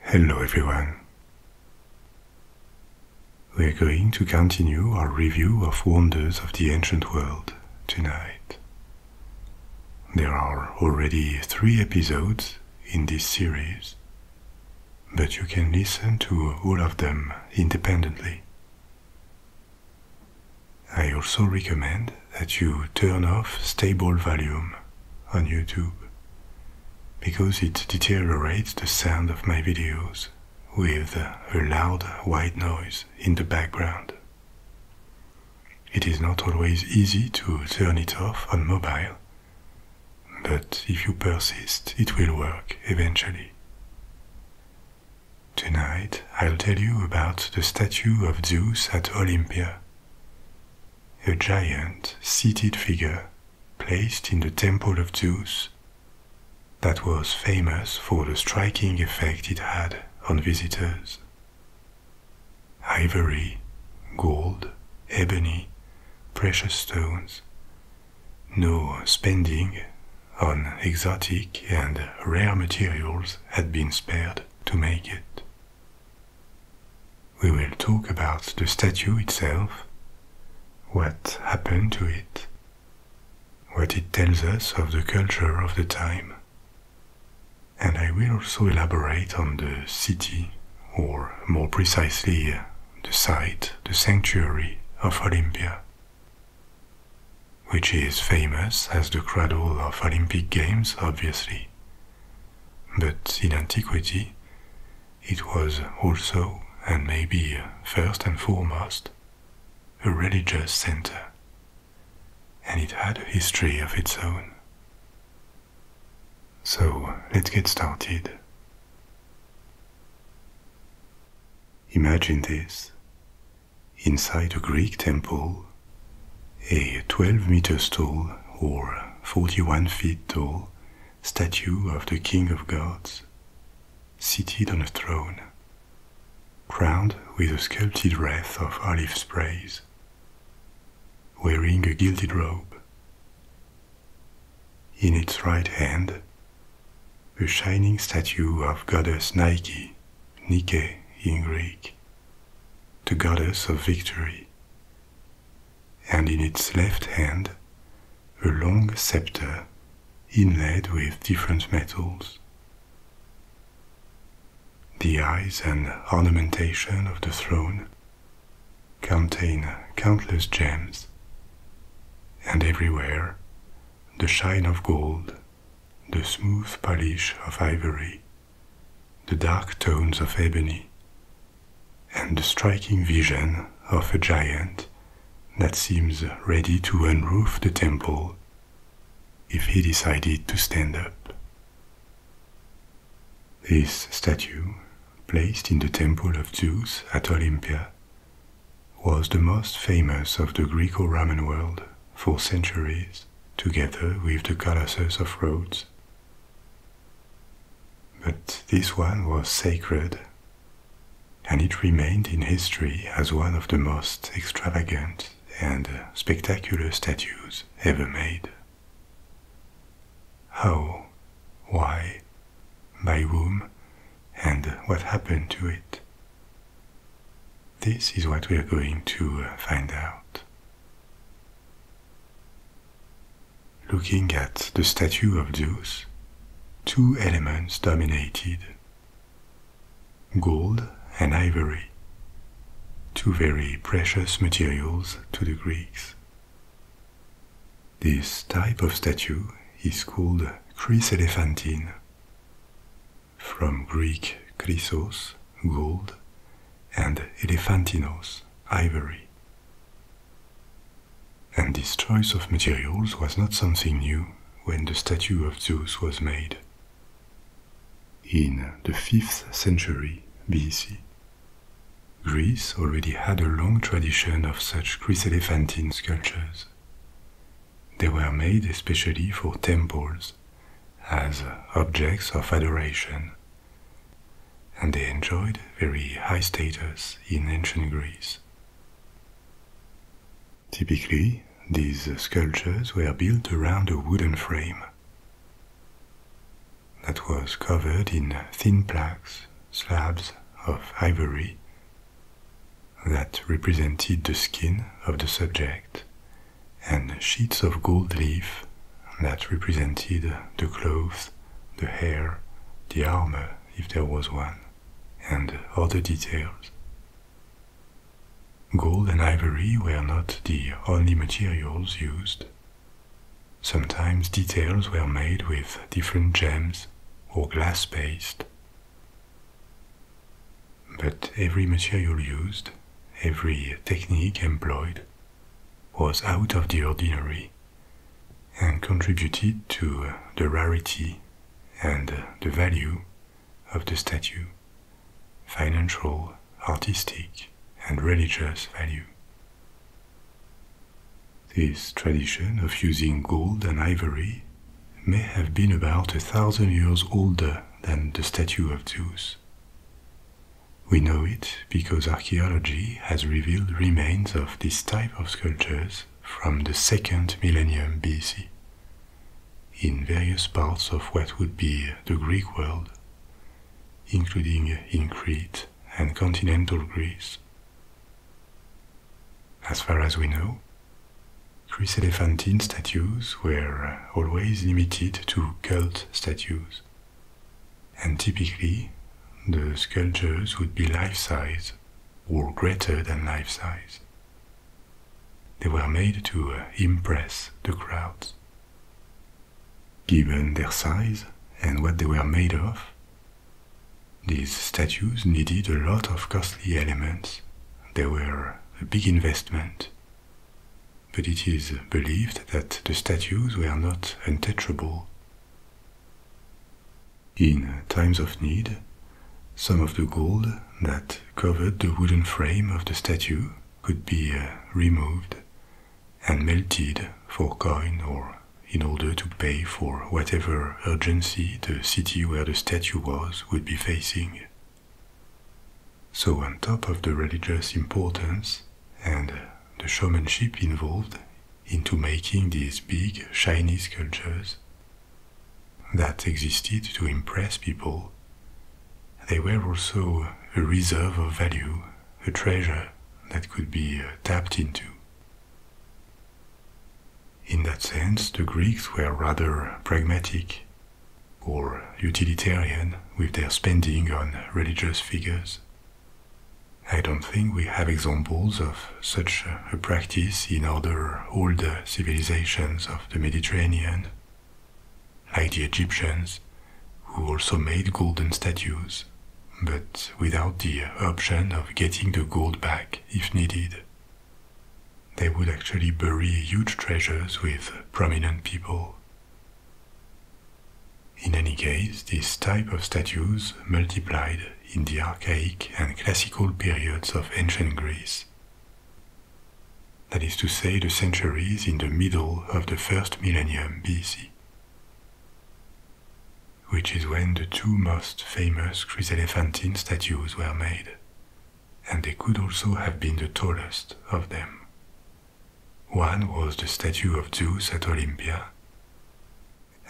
Hello everyone. We are going to continue our review of wonders of the ancient world tonight. There are already three episodes in this series, but you can listen to all of them independently. I also recommend that you turn off stable volume on YouTube because it deteriorates the sound of my videos with a loud white noise in the background. It is not always easy to turn it off on mobile, but if you persist, it will work eventually. Tonight, I'll tell you about the statue of Zeus at Olympia a giant seated figure placed in the temple of Zeus that was famous for the striking effect it had on visitors. Ivory, gold, ebony, precious stones, no spending on exotic and rare materials had been spared to make it. We will talk about the statue itself, what happened to it, what it tells us of the culture of the time, and I will also elaborate on the city, or more precisely, the site, the sanctuary of Olympia, which is famous as the cradle of Olympic Games, obviously. But in antiquity, it was also, and maybe first and foremost, a religious center, and it had a history of its own. So let's get started. Imagine this inside a Greek temple, a 12 meters tall or 41 feet tall statue of the King of Gods, seated on a throne, crowned with a sculpted wreath of olive sprays, wearing a gilded robe. In its right hand, a shining statue of goddess Nike, Nike in Greek, the goddess of victory, and in its left hand a long scepter inlaid with different metals. The eyes and ornamentation of the throne contain countless gems, and everywhere the shine of gold, the smooth polish of ivory, the dark tones of ebony, and the striking vision of a giant that seems ready to unroof the temple if he decided to stand up. This statue, placed in the temple of Zeus at Olympia, was the most famous of the Greco Roman world for centuries together with the colossus of Rhodes. But this one was sacred, and it remained in history as one of the most extravagant and spectacular statues ever made. How, why, by whom, and what happened to it? This is what we are going to uh, find out. Looking at the statue of Zeus, two elements dominated gold and ivory, two very precious materials to the Greeks. This type of statue is called chryselephantine, from Greek chrysos, gold, and elephantinos, ivory. And this choice of materials was not something new when the statue of Zeus was made. In the 5th century BC, Greece already had a long tradition of such chryselephantine sculptures, they were made especially for temples, as objects of adoration, and they enjoyed very high status in ancient Greece. Typically, these sculptures were built around a wooden frame that was covered in thin plaques, slabs of ivory that represented the skin of the subject and sheets of gold leaf that represented the clothes, the hair, the armor, if there was one, and other details. Gold and ivory were not the only materials used. Sometimes details were made with different gems or glass paste, but every material used, every technique employed, was out of the ordinary and contributed to the rarity and the value of the statue, financial, artistic, and religious value. This tradition of using gold and ivory may have been about a thousand years older than the statue of Zeus. We know it because archaeology has revealed remains of this type of sculptures from the second millennium BC in various parts of what would be the Greek world, including in Crete and continental Greece. As far as we know, Chris Elephantine statues were uh, always limited to cult statues, and typically the sculptures would be life size or greater than life size. They were made to uh, impress the crowds. Given their size and what they were made of, these statues needed a lot of costly elements they were a big investment. But it is believed that the statues were not untouchable. In times of need, some of the gold that covered the wooden frame of the statue could be uh, removed and melted for coin or in order to pay for whatever urgency the city where the statue was would be facing. So, on top of the religious importance and the showmanship involved into making these big, shiny sculptures that existed to impress people, they were also a reserve of value, a treasure that could be uh, tapped into. In that sense, the Greeks were rather pragmatic or utilitarian with their spending on religious figures. I don't think we have examples of such a practice in other older civilizations of the Mediterranean, like the Egyptians, who also made golden statues, but without the option of getting the gold back if needed they would actually bury huge treasures with prominent people. In any case, this type of statues multiplied in the archaic and classical periods of ancient Greece. That is to say, the centuries in the middle of the first millennium BC, which is when the two most famous chryselephantine statues were made and they could also have been the tallest of them. One was the statue of Zeus at Olympia,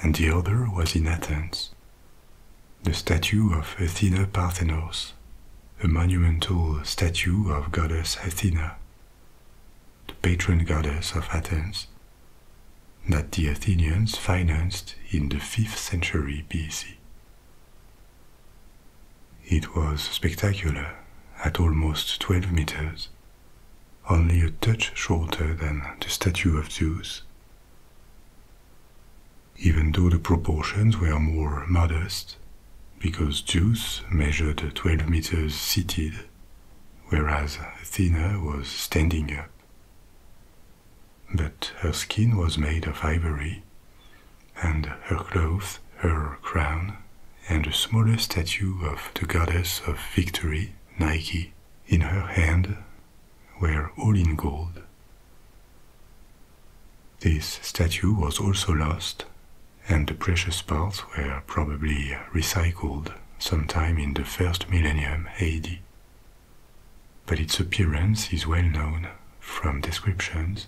and the other was in Athens. The statue of Athena Parthenos, a monumental statue of goddess Athena, the patron goddess of Athens, that the Athenians financed in the 5th century BC. It was spectacular at almost 12 meters, only a touch shorter than the statue of Zeus. Even though the proportions were more modest, because Zeus measured 12 meters seated, whereas Athena was standing up. But her skin was made of ivory, and her clothes, her crown, and a smaller statue of the goddess of victory, Nike, in her hand, were all in gold. This statue was also lost, and the precious parts were probably recycled sometime in the first millennium AD but its appearance is well known from descriptions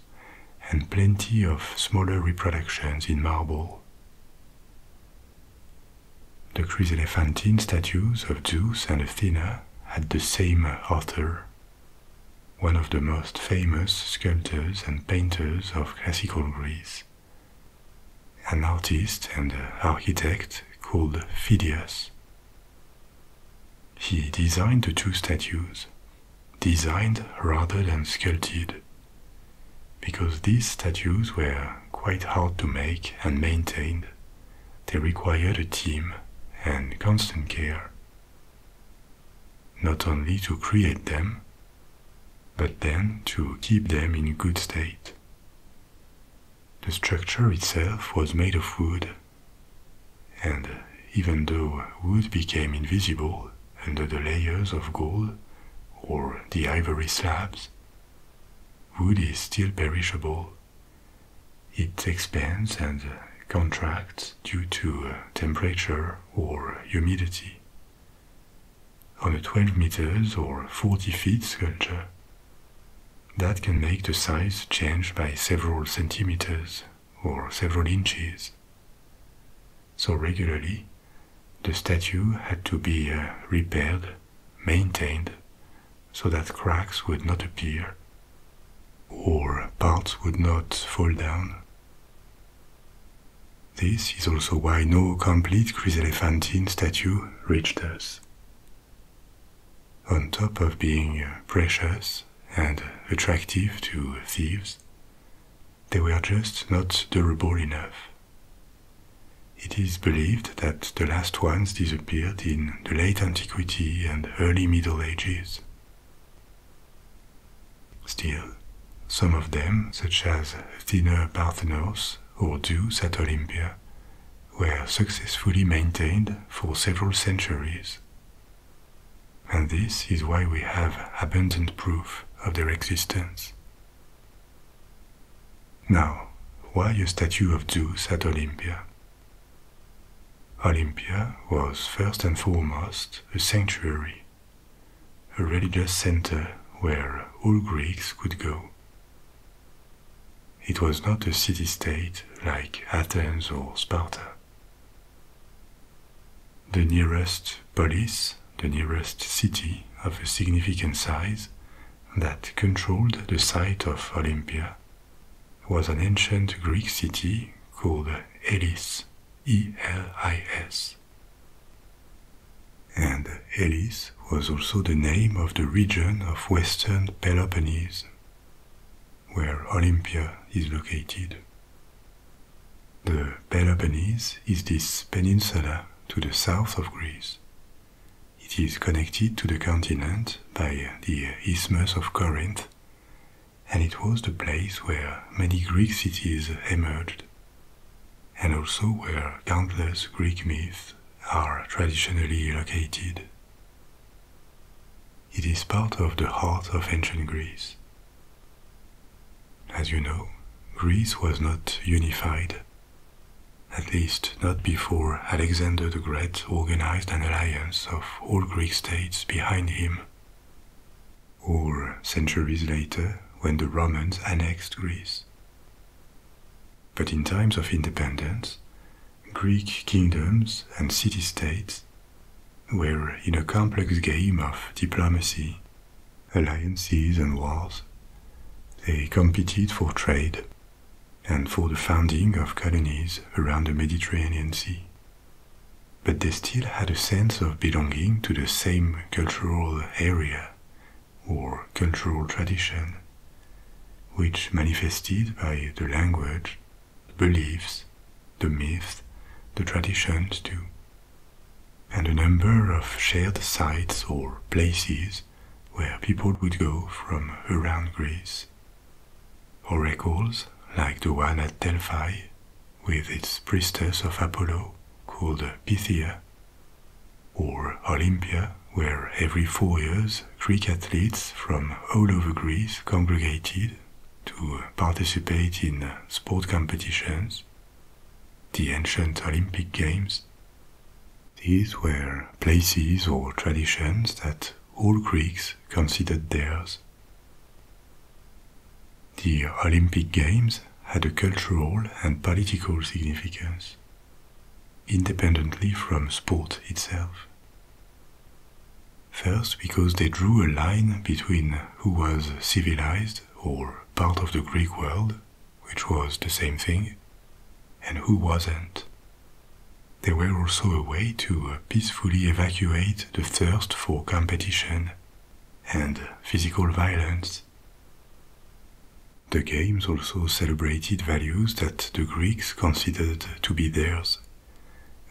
and plenty of smaller reproductions in marble. The chryselephantine statues of Zeus and Athena had the same author, one of the most famous sculptors and painters of classical Greece, an artist and architect called Phidias, he designed the two statues, designed rather than sculpted, because these statues were quite hard to make and maintain. They required a team and constant care, not only to create them, but then to keep them in good state. The structure itself was made of wood and even though wood became invisible under the layers of gold or the ivory slabs, wood is still perishable. It expands and contracts due to uh, temperature or humidity. On a 12 meters or 40 feet sculpture, that can make the size change by several centimeters or several inches. So regularly, the statue had to be uh, repaired, maintained, so that cracks would not appear or parts would not fall down. This is also why no complete chryselephantine statue reached us. On top of being precious and attractive to thieves, they were just not durable enough. It is believed that the last ones disappeared in the late antiquity and early Middle Ages. Still, some of them, such as thinner Parthenos or Zeus at Olympia, were successfully maintained for several centuries. And this is why we have abundant proof of their existence. Now, why a statue of Zeus at Olympia? Olympia was first and foremost a sanctuary, a religious center where all Greeks could go it was not a city state like Athens or Sparta. The nearest polis, the nearest city of a significant size that controlled the site of Olympia, was an ancient Greek city called Elis, E L I S. And Elis was also the name of the region of western Peloponnese, where Olympia is located. The Peloponnese is this peninsula to the south of Greece. It is connected to the continent by the Isthmus of Corinth, and it was the place where many Greek cities emerged, and also where countless Greek myths are traditionally located. It is part of the heart of ancient Greece. As you know, Greece was not unified, at least not before Alexander the Great organized an alliance of all Greek states behind him, or centuries later when the Romans annexed Greece. But in times of independence, Greek kingdoms and city states were in a complex game of diplomacy, alliances, and wars. They competed for trade and for the founding of colonies around the Mediterranean Sea. But they still had a sense of belonging to the same cultural area or cultural tradition, which manifested by the language, the beliefs, the myths, the traditions too, and a number of shared sites or places where people would go from around Greece. Oracles, like the one at Delphi, with its priestess of Apollo called Pythia, or Olympia, where every four years Greek athletes from all over Greece congregated to participate in sport competitions, the ancient Olympic Games. These were places or traditions that all Greeks considered theirs. The Olympic Games had a cultural and political significance independently from sport itself. First, because they drew a line between who was civilized or part of the Greek world, which was the same thing, and who wasn't. They were also a way to peacefully evacuate the thirst for competition and physical violence. The games also celebrated values that the Greeks considered to be theirs,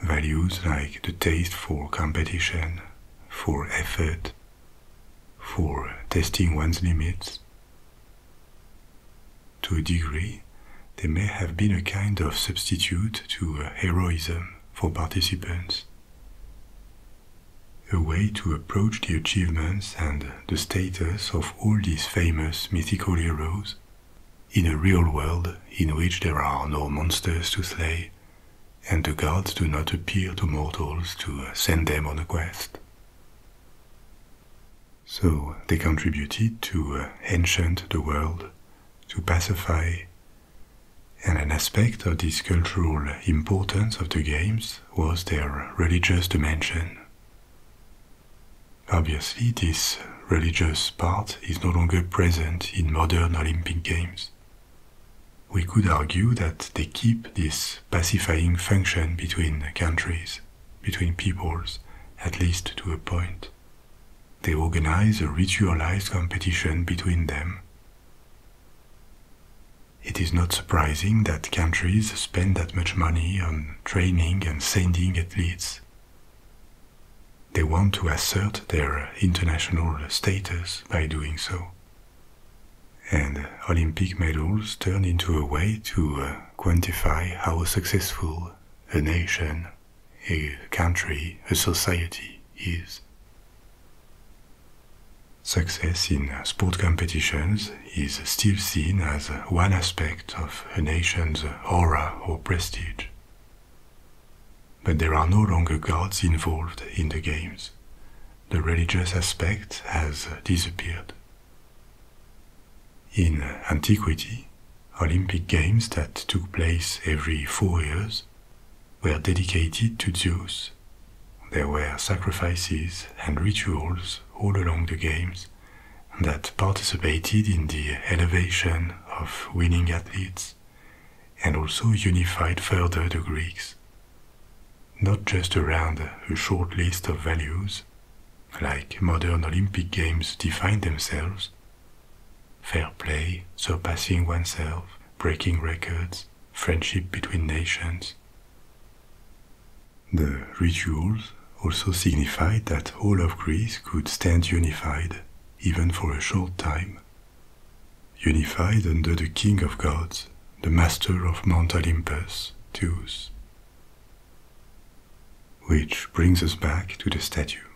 values like the taste for competition, for effort, for testing one's limits. To a degree, they may have been a kind of substitute to heroism for participants, a way to approach the achievements and the status of all these famous mythical heroes in a real world in which there are no monsters to slay and the gods do not appear to mortals to send them on a quest. So they contributed to enchant uh, the world, to pacify, and an aspect of this cultural importance of the games was their religious dimension. Obviously, this religious part is no longer present in modern Olympic Games. We could argue that they keep this pacifying function between countries, between peoples, at least to a point. They organize a ritualized competition between them. It is not surprising that countries spend that much money on training and sending athletes. They want to assert their international status by doing so. And Olympic medals turn into a way to uh, quantify how successful a nation, a country, a society is. Success in sport competitions is still seen as one aspect of a nation's honor or prestige. But there are no longer gods involved in the games. The religious aspect has disappeared. In antiquity, Olympic Games that took place every four years were dedicated to Zeus there were sacrifices and rituals all along the games that participated in the elevation of winning athletes and also unified further the Greeks, not just around a short list of values, like modern Olympic Games define themselves fair play, surpassing oneself, breaking records, friendship between nations. The rituals also signified that all of Greece could stand unified, even for a short time. Unified under the King of Gods, the master of Mount Olympus, Zeus. Which brings us back to the statue.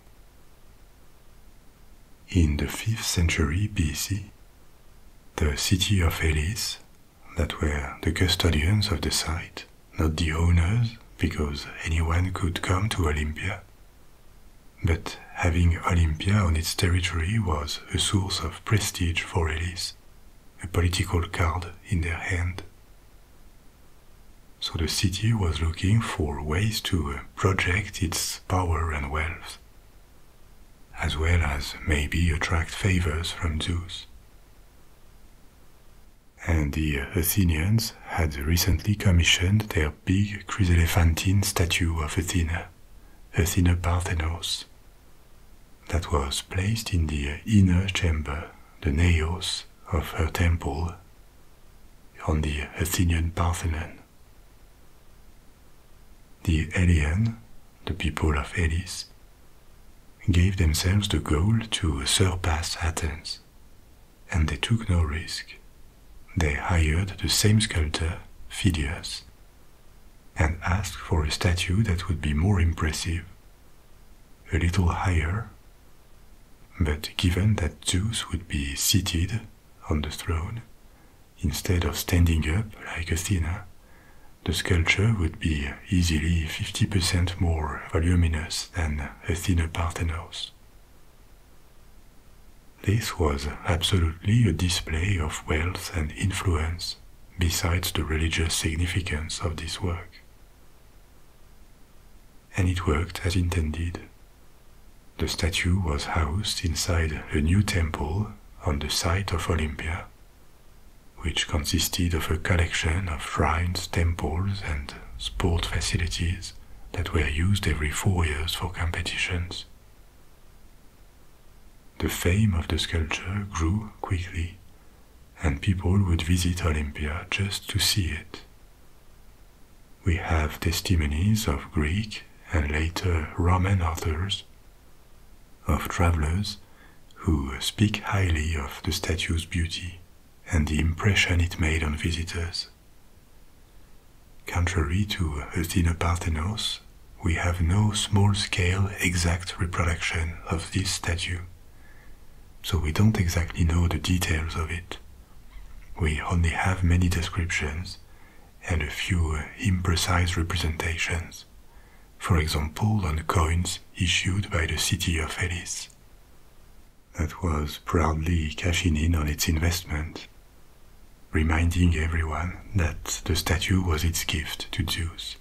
In the 5th century BC, the city of Elis that were the custodians of the site, not the owners, because anyone could come to Olympia. But having Olympia on its territory was a source of prestige for Elis, a political card in their hand. So the city was looking for ways to project its power and wealth, as well as maybe attract favors from Zeus. And the Athenians had recently commissioned their big chryselephantine statue of Athena, Athena Parthenos, that was placed in the inner chamber, the naos, of her temple on the Athenian Parthenon. The Elian, the people of Elis, gave themselves the goal to surpass Athens, and they took no risk. They hired the same sculptor, Phidias, and asked for a statue that would be more impressive, a little higher. But given that Zeus would be seated on the throne, Instead of standing up like Athena, the sculpture would be easily 50% more voluminous than Athena Parthenos. This was absolutely a display of wealth and influence, besides the religious significance of this work. And it worked as intended. The statue was housed inside a new temple on the site of Olympia which consisted of a collection of shrines, temples, and sport facilities that were used every four years for competitions. The fame of the sculpture grew quickly, and people would visit Olympia just to see it. We have testimonies of Greek and later Roman authors of travelers who speak highly of the statue's beauty and the impression it made on visitors. Contrary to Athena Parthenos, we have no small scale exact reproduction of this statue, so we don't exactly know the details of it. We only have many descriptions and a few imprecise representations for example on coins issued by the city of Elis, that was proudly cashing in on its investment, reminding everyone that the statue was its gift to Zeus.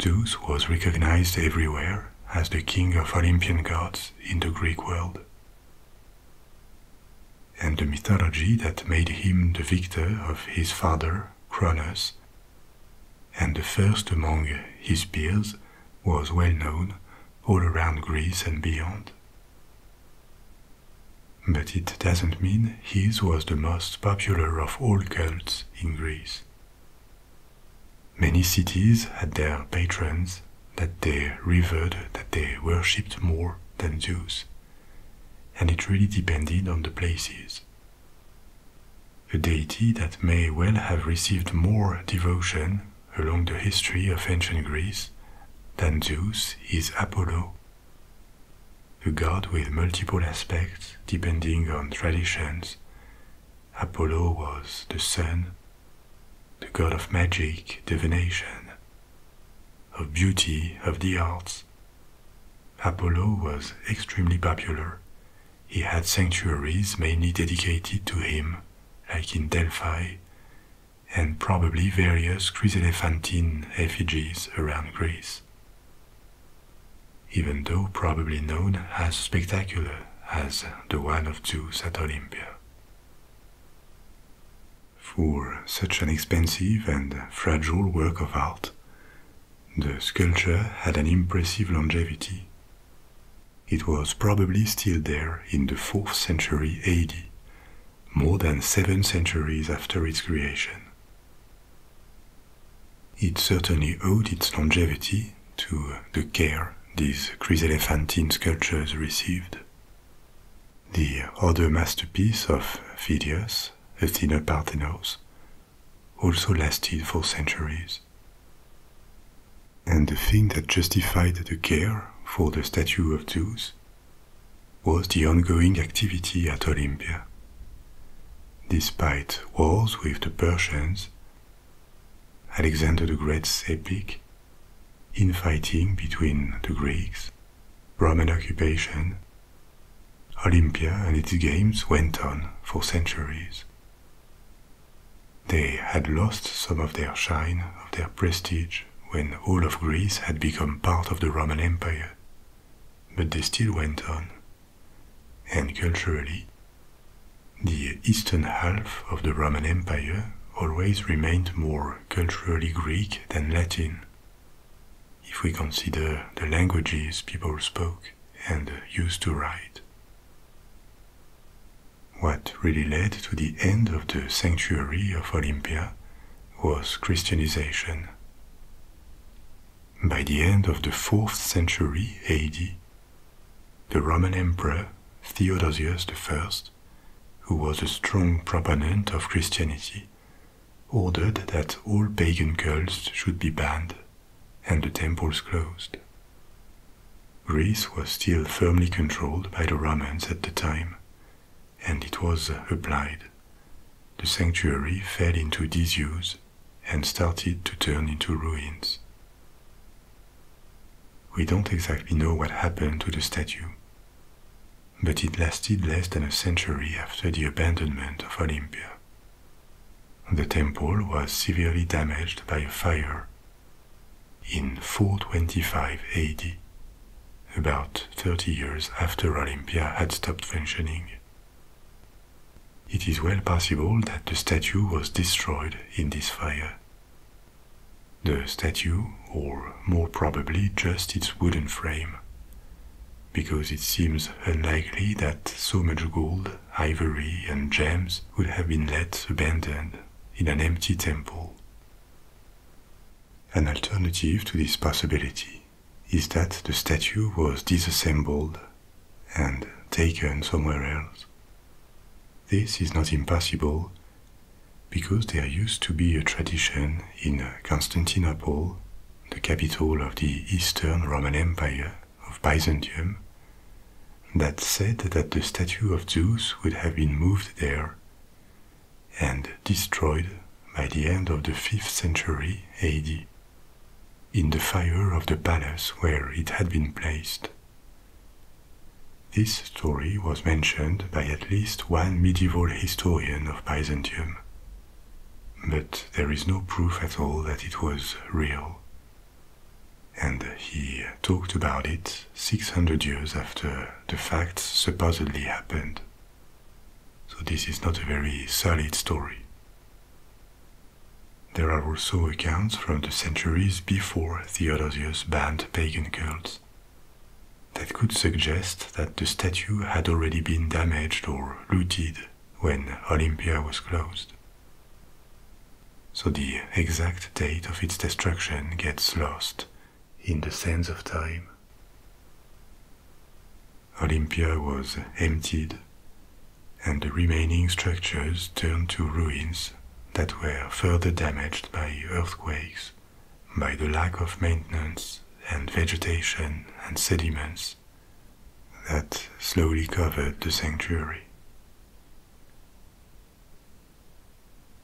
Zeus was recognized everywhere as the king of Olympian gods in the Greek world, and the mythology that made him the victor of his father, Cronus, and the first among his peers, was well known all around Greece and beyond. But it doesn't mean his was the most popular of all cults in Greece. Many cities had their patrons that they revered, that they worshipped more than Zeus and it really depended on the places. A deity that may well have received more devotion along the history of ancient Greece than Zeus is Apollo, a god with multiple aspects depending on traditions. Apollo was the sun, the god of magic, divination, of beauty, of the arts. Apollo was extremely popular. He had sanctuaries mainly dedicated to him, like in Delphi, and probably various chryselephantine effigies around Greece. Even though probably known as spectacular as the one of Zeus at Olympia for such an expensive and fragile work of art, the sculpture had an impressive longevity. It was probably still there in the 4th century AD, more than seven centuries after its creation. It certainly owed its longevity to the care these chryselephantine sculptures received. The other masterpiece of Phidias, Athena Parthenos, also lasted for centuries. And the thing that justified the care for the statue of Zeus was the ongoing activity at Olympia. Despite wars with the Persians, Alexander the Great's epic infighting between the Greeks Roman occupation, Olympia and its games went on for centuries. They had lost some of their shine, of their prestige, when all of Greece had become part of the Roman Empire, but they still went on. And culturally, the eastern half of the Roman Empire always remained more culturally Greek than Latin, if we consider the languages people spoke and used to write. What really led to the end of the sanctuary of Olympia was Christianization. By the end of the 4th century AD, the Roman Emperor Theodosius I who was a strong proponent of Christianity, ordered that all pagan cults should be banned and the temples closed. Greece was still firmly controlled by the Romans at the time, and it was applied. The sanctuary fell into disuse and started to turn into ruins. We don't exactly know what happened to the statue, but it lasted less than a century after the abandonment of Olympia. The temple was severely damaged by a fire in 425 AD, about 30 years after Olympia had stopped functioning. It is well possible that the statue was destroyed in this fire, the statue, or more probably just its wooden frame, because it seems unlikely that so much gold, ivory, and gems would have been left abandoned in an empty temple. An alternative to this possibility is that the statue was disassembled and taken somewhere else. This is not impossible because there used to be a tradition in Constantinople, the capital of the Eastern Roman Empire of Byzantium, that said that the statue of Zeus would have been moved there and destroyed by the end of the 5th century AD in the fire of the palace where it had been placed. This story was mentioned by at least one medieval historian of Byzantium, but there is no proof at all that it was real. And he talked about it 600 years after the facts supposedly happened. So this is not a very solid story. There are also accounts from the centuries before Theodosius banned pagan cults that could suggest that the statue had already been damaged or looted when Olympia was closed. So the exact date of its destruction gets lost in the sands of time. Olympia was emptied, and the remaining structures turned to ruins that were further damaged by earthquakes by the lack of maintenance and vegetation and sediments that slowly covered the sanctuary.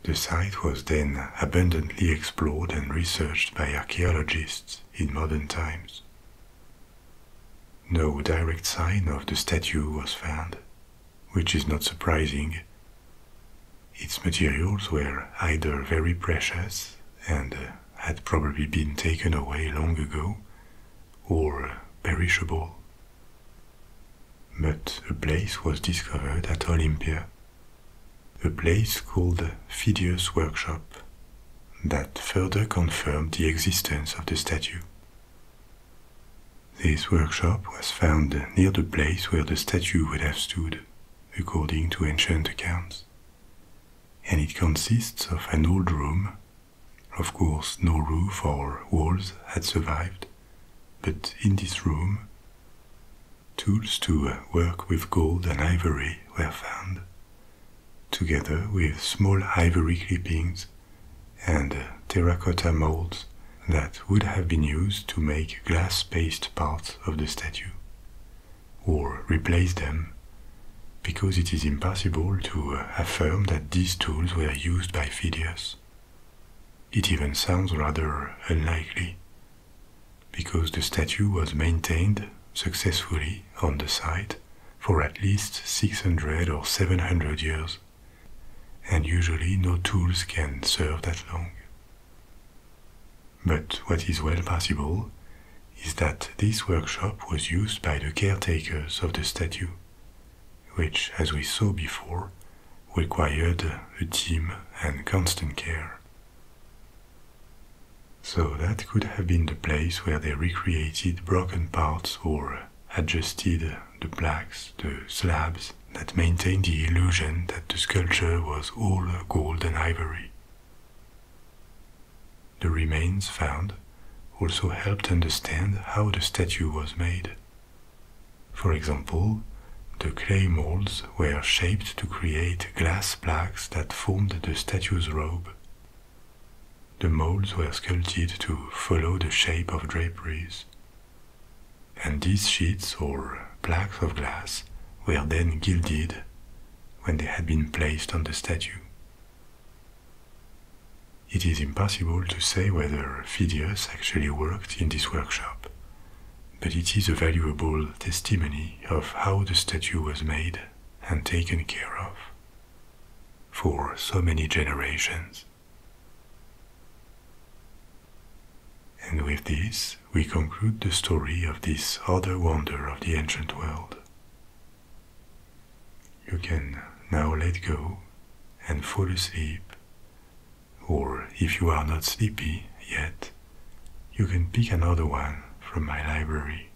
The site was then abundantly explored and researched by archaeologists in modern times. No direct sign of the statue was found, which is not surprising. Its materials were either very precious and uh, had probably been taken away long ago, or uh, perishable. But a place was discovered at Olympia, a place called Phidias Workshop, that further confirmed the existence of the statue. This workshop was found near the place where the statue would have stood, according to ancient accounts, and it consists of an old room. Of course, no roof or walls had survived, but in this room, tools to work with gold and ivory were found, together with small ivory clippings and terracotta molds that would have been used to make glass-based parts of the statue, or replace them, because it is impossible to affirm that these tools were used by Phidias. It even sounds rather unlikely, because the statue was maintained successfully on the site for at least 600 or 700 years and usually no tools can serve that long. But what is well possible is that this workshop was used by the caretakers of the statue, which, as we saw before, required a team and constant care. So that could have been the place where they recreated broken parts or adjusted the plaques, the slabs that maintained the illusion that the sculpture was all gold and ivory. The remains found also helped understand how the statue was made. For example, the clay molds were shaped to create glass plaques that formed the statue's robe. The molds were sculpted to follow the shape of draperies, and these sheets or plaques of glass were then gilded when they had been placed on the statue. It is impossible to say whether Phidias actually worked in this workshop, but it is a valuable testimony of how the statue was made and taken care of for so many generations. And with this, we conclude the story of this other wonder of the ancient world. You can now let go and fall asleep, or if you are not sleepy yet, you can pick another one from my library.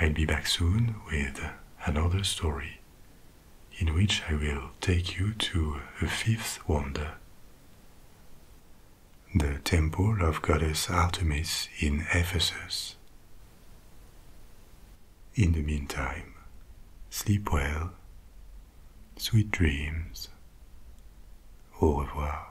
I'll be back soon with another story in which I will take you to a fifth wonder. The temple of goddess Artemis in Ephesus. In the meantime, sleep well, sweet dreams, au revoir.